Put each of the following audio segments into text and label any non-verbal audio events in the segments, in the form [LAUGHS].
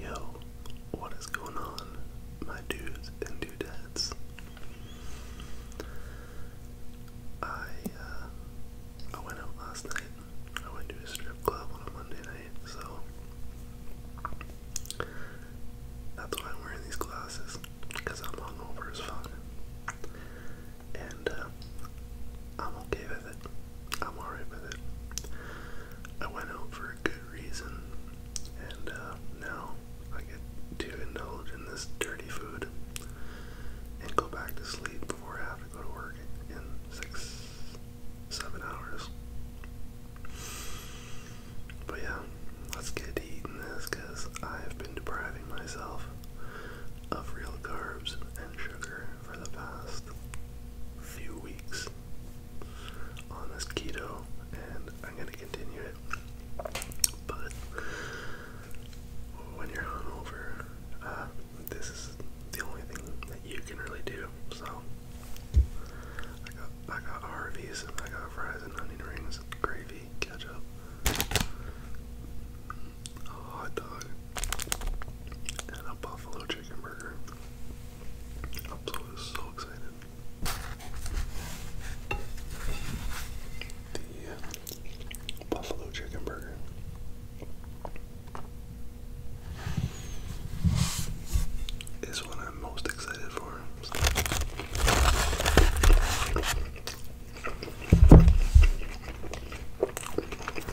Yo, what is going on, my dudes and dudettes? I uh, I went out last night. I went to a strip club on a Monday night, so that's why I'm wearing these glasses because I'm hungover as fuck. And uh, I'm okay with it. I'm alright with it. I went out for a good reason, and uh, now I get to indulge in this dirty food and go back to sleep before I have to go to work in six, seven hours. But yeah, let's get to eating this because I've been depriving myself of real carbs and sugar for the past few weeks on this keto, and I'm gonna continue it. But when you're hungover, uh, this is the only thing that you can really do. So I got I got Harvey's, I got fries and onion rings, gravy, ketchup, a hot dog, and a buffalo buffalo chicken burger. Is what I'm most excited for.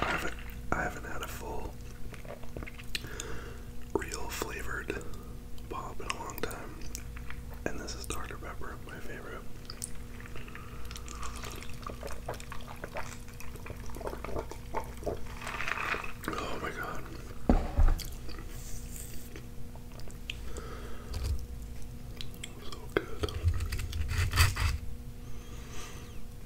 I haven't, I haven't had a full real flavored pop in a long time, and this is Dr. Pepper, my favorite. Oh my god. So good.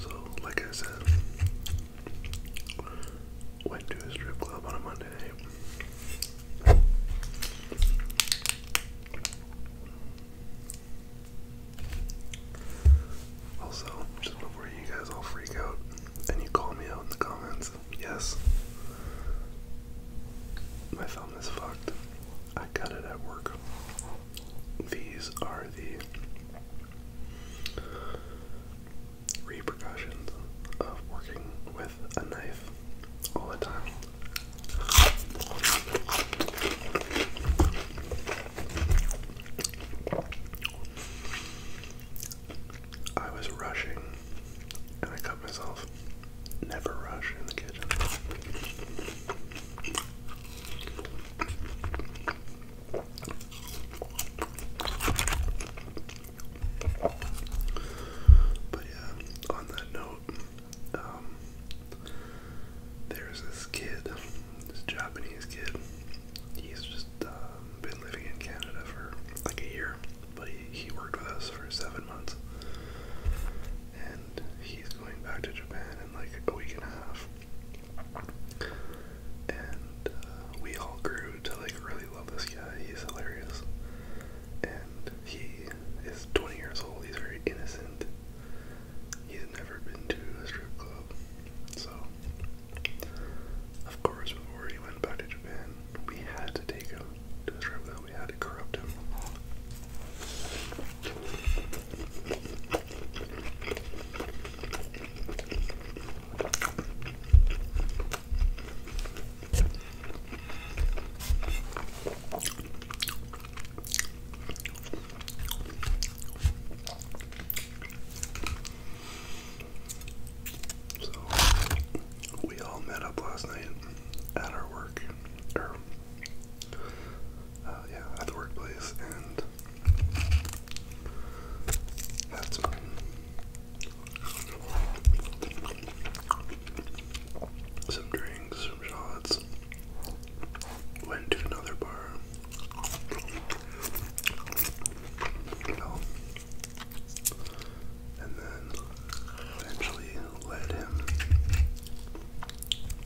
So, like I said, went to a strip club on a Monday Also, just before you guys all freak out and you call me out in the comments, yes, my thumb is fucked. I got it at work. These are the repercussions of working with a knife all the time. I was rushing and I cut myself. Never rush in the kitchen. But yeah, on that note, um, there's this kid, this Japanese kid. He's just um, been living in Canada for like a year but he, he worked with us for seven months. And he's going back to Japan in like a week and a half. And uh, we all grew to like really love this guy. He's hilarious. And he is 20 years old. He's very innocent. He's never been to a strip club. So, of course, before he went back to Japan, we had to take him to a strip club know had to corrupt him we all met up last night at our work, or uh, yeah, at the workplace, and had some drinks, some shots. Went to another bar and then eventually led him to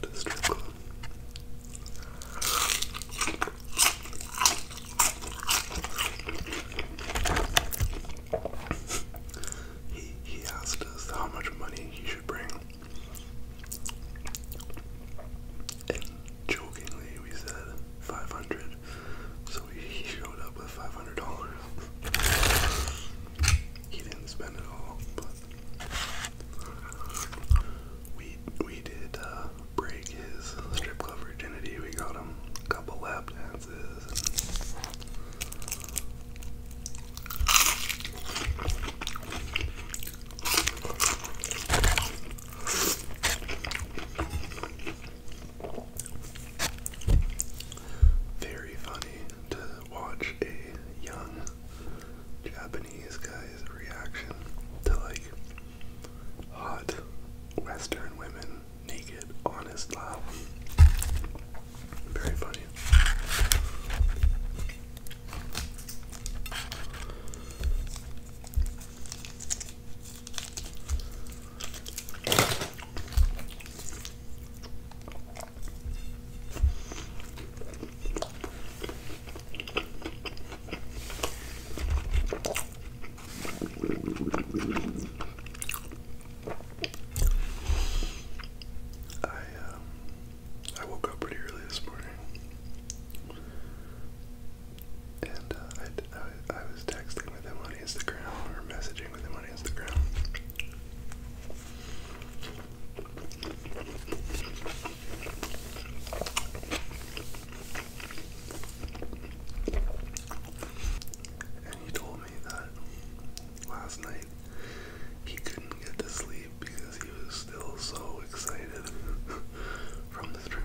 the He he asked us how much money he should bring. And jokingly we said 500 so he showed up with five hundred dollars. He didn't spend it all, but we we did uh, break his strip club virginity. We got him a couple lap dances. Very funny to watch a young Japanese guy's reaction to like hot Western women naked honest his Very funny. I, um, I woke up pretty early this morning and uh, I, I, was texting with him on Instagram or messaging with him on Instagram. And he told me that last night he couldn't get to sleep because he was still so excited [LAUGHS] from the stream.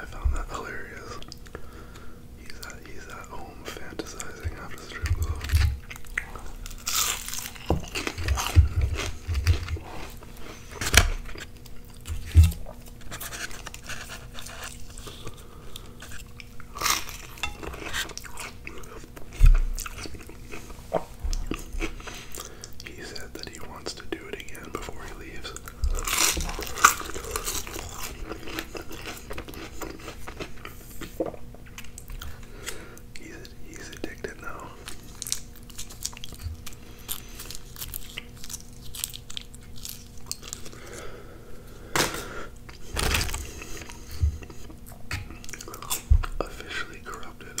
I found that hilarious. He's at, home fantasizing after strip club. He said that he wants to do it again before he leaves. He's, he's addicted now. Officially corrupted.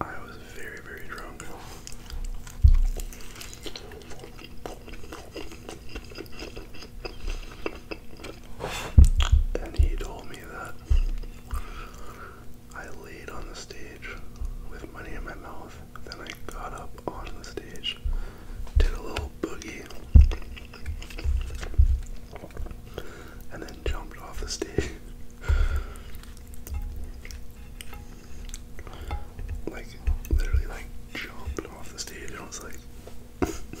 I was very, very drunk and he told me that I laid on the stage with money in my mouth. Then I got up on the stage, did a little boogie, and then jumped off the stage. [LAUGHS] like literally like jumped off the stage and I was like [LAUGHS]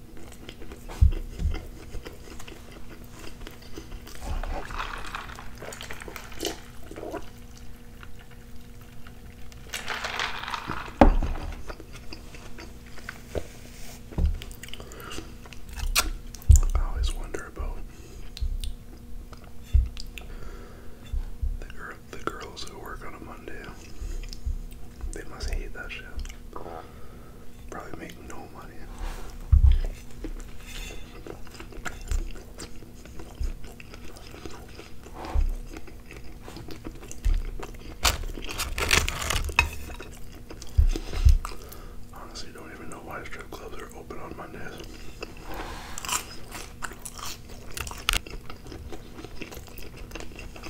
I always wonder about the the girls who work on a Monday. They must hate that shit. Probably make no money. Honestly, don't even know why strip clubs are open on Mondays.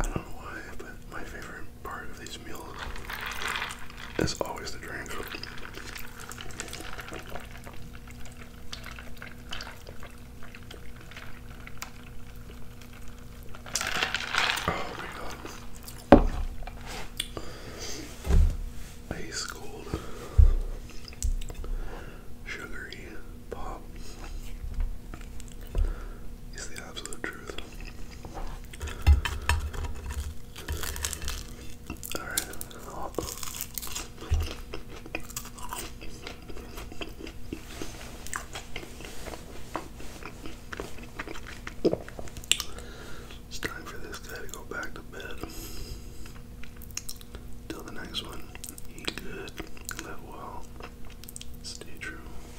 I don't know why, but my favorite part of these meals is always the drinks. Oh my god. Ice cold, sugary pop is the absolute truth. All right. It's time for this guy to go back to bed. Till the next one, eat good, live well, stay true,